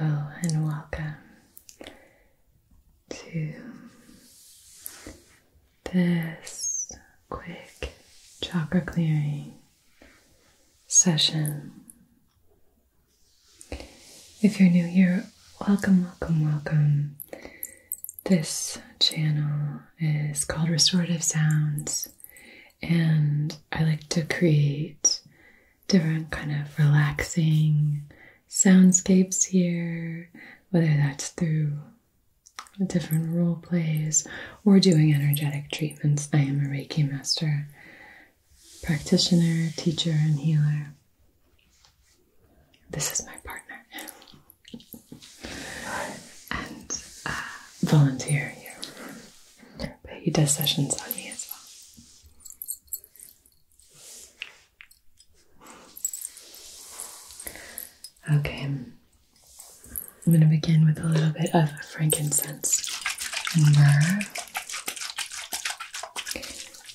Hello and welcome to this quick chakra clearing session. If you're new here, welcome, welcome, welcome. This channel is called Restorative Sounds, and I like to create different kind of relaxing soundscapes here, whether that's through different role plays or doing energetic treatments. I am a Reiki master, practitioner, teacher, and healer. This is my partner. and uh, volunteer here. But he does sessions on me as well. Okay, I'm going to begin with a little bit of frankincense and myrrh.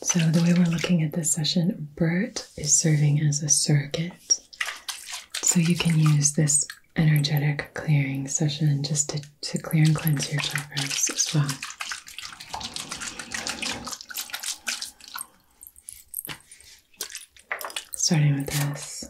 So, the way we're looking at this session, Bert is serving as a circuit. So, you can use this energetic clearing session just to, to clear and cleanse your chakras as well. Starting with this.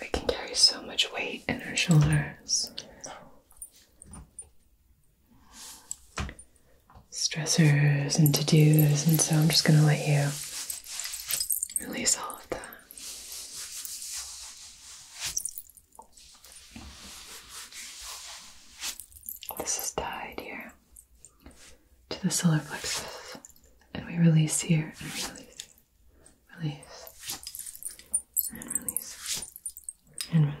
We can carry so much weight in our shoulders. Stressors and to dos, and so I'm just going to let you release all of that. This is dyed here to the solar plexus. And we release here and release, release, and release, and release.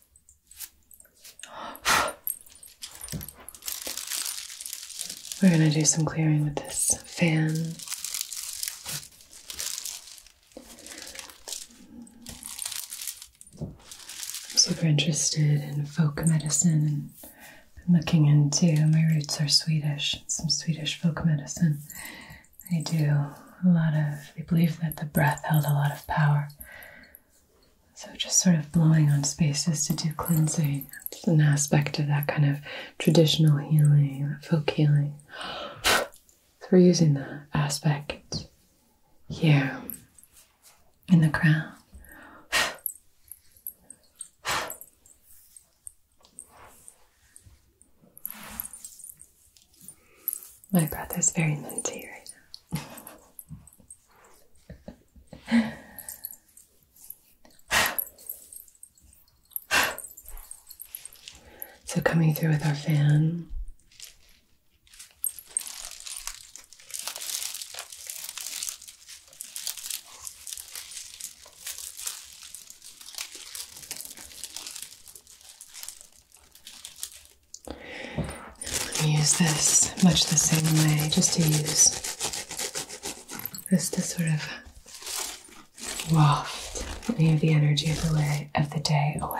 We're going to do some clearing with this fan. I'm super interested in folk medicine and looking into my roots are Swedish, some Swedish folk medicine. They do a lot of, they believe that the breath held a lot of power so, just sort of blowing on spaces to do cleansing. It's an aspect of that kind of traditional healing, that folk healing. so, we're using that aspect here in the crown. My breath is very minty right now. so, coming through with our fan. I'm use this much the same way, just to use this to sort of waft any of the energy of the day away.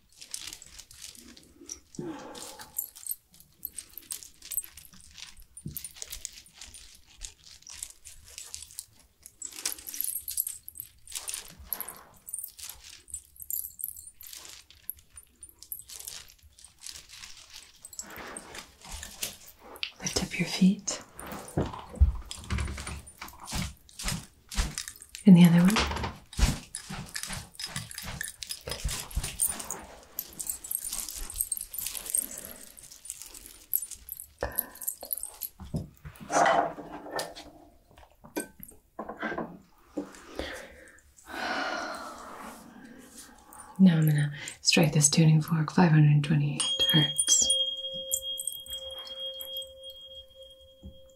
Lift up your feet. And the other one. Now I'm gonna strike this tuning fork 528 hertz.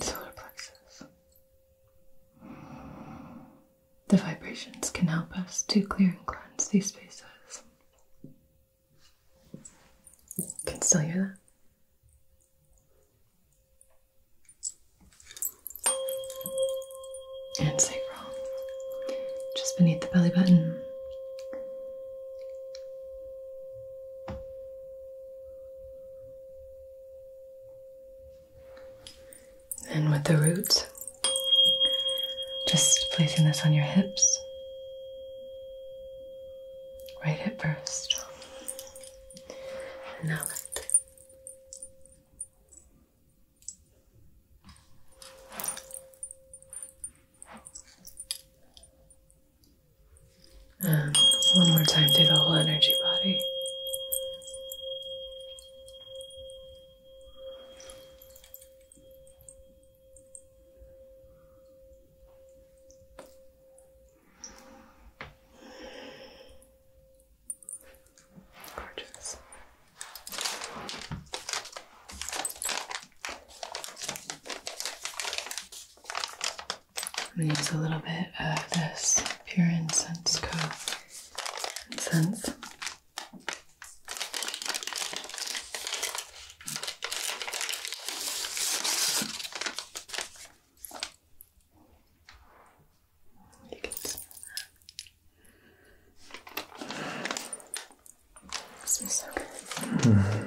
Solar plexus. The vibrations can help us to clear and cleanse these spaces. can still hear that? and sacral, just beneath the belly button. And with the root, just placing this on your hips. Right hip first. Now um, one more time through the whole energy body. Gorgeous. I'm going to use a little bit of this Pure Incense Incense. You can smell that. so good.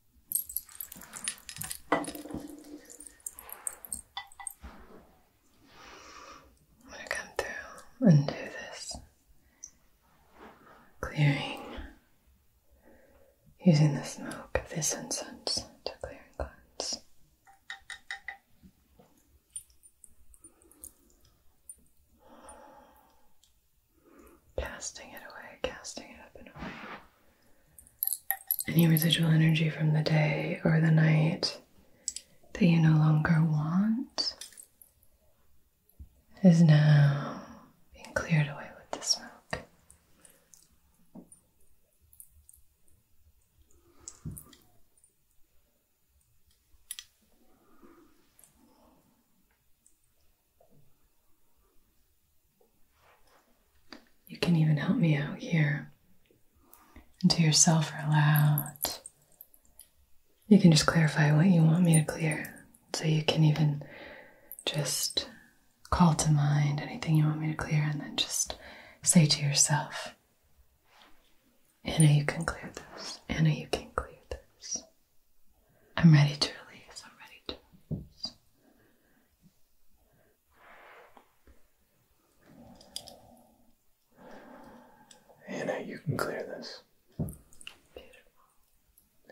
I'm going to come through and this clearing using the smoke of this incense to clear and cleanse. Casting it away, casting it up and away any residual energy from the day or the night that you no longer want is now being cleared away with the smoke. You can even help me out here. And to yourself, or aloud. You can just clarify what you want me to clear. So you can even just call to mind anything you want me to clear and then just say to yourself, Anna, you can clear this. Anna, you can clear this. I'm ready to release. I'm ready to Anna, you can clear this. Beautiful.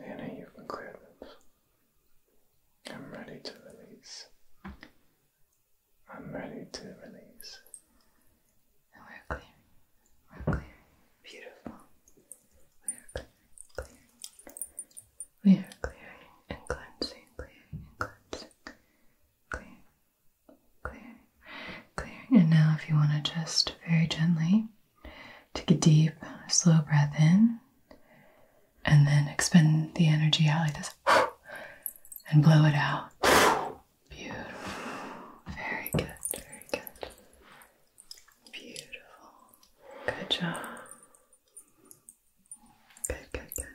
Anna, you can clear this. I'm ready to release. I'm ready to release. And we're clear. We're clearing. Beautiful. We're clearing. Clearing. We are clearing and cleansing, clearing and cleansing, clearing, clearing, clearing. And now, if you want to just very gently take a deep, slow breath in and then expend the energy out like this and blow it out. Beautiful. Very good, very good. Beautiful. Good job. Good, good, good.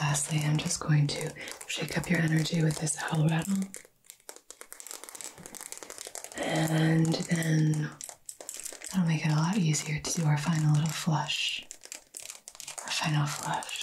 Lastly, I'm just going to shake up your energy with this owl rattle. And then That'll make it a lot easier to do our final little flush. Our final flush.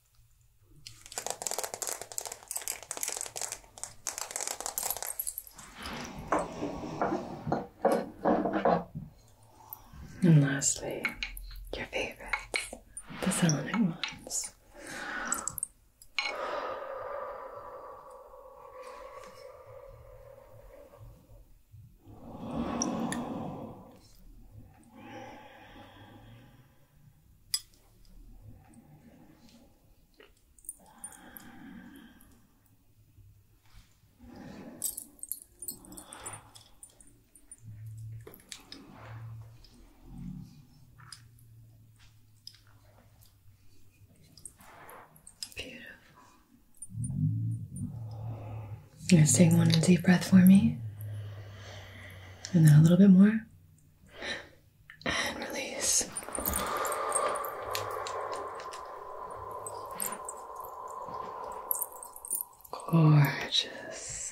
And lastly, your favorites, the Selenic ones. Beautiful. Let's take one deep breath for me. And then a little bit more and release. Gorgeous.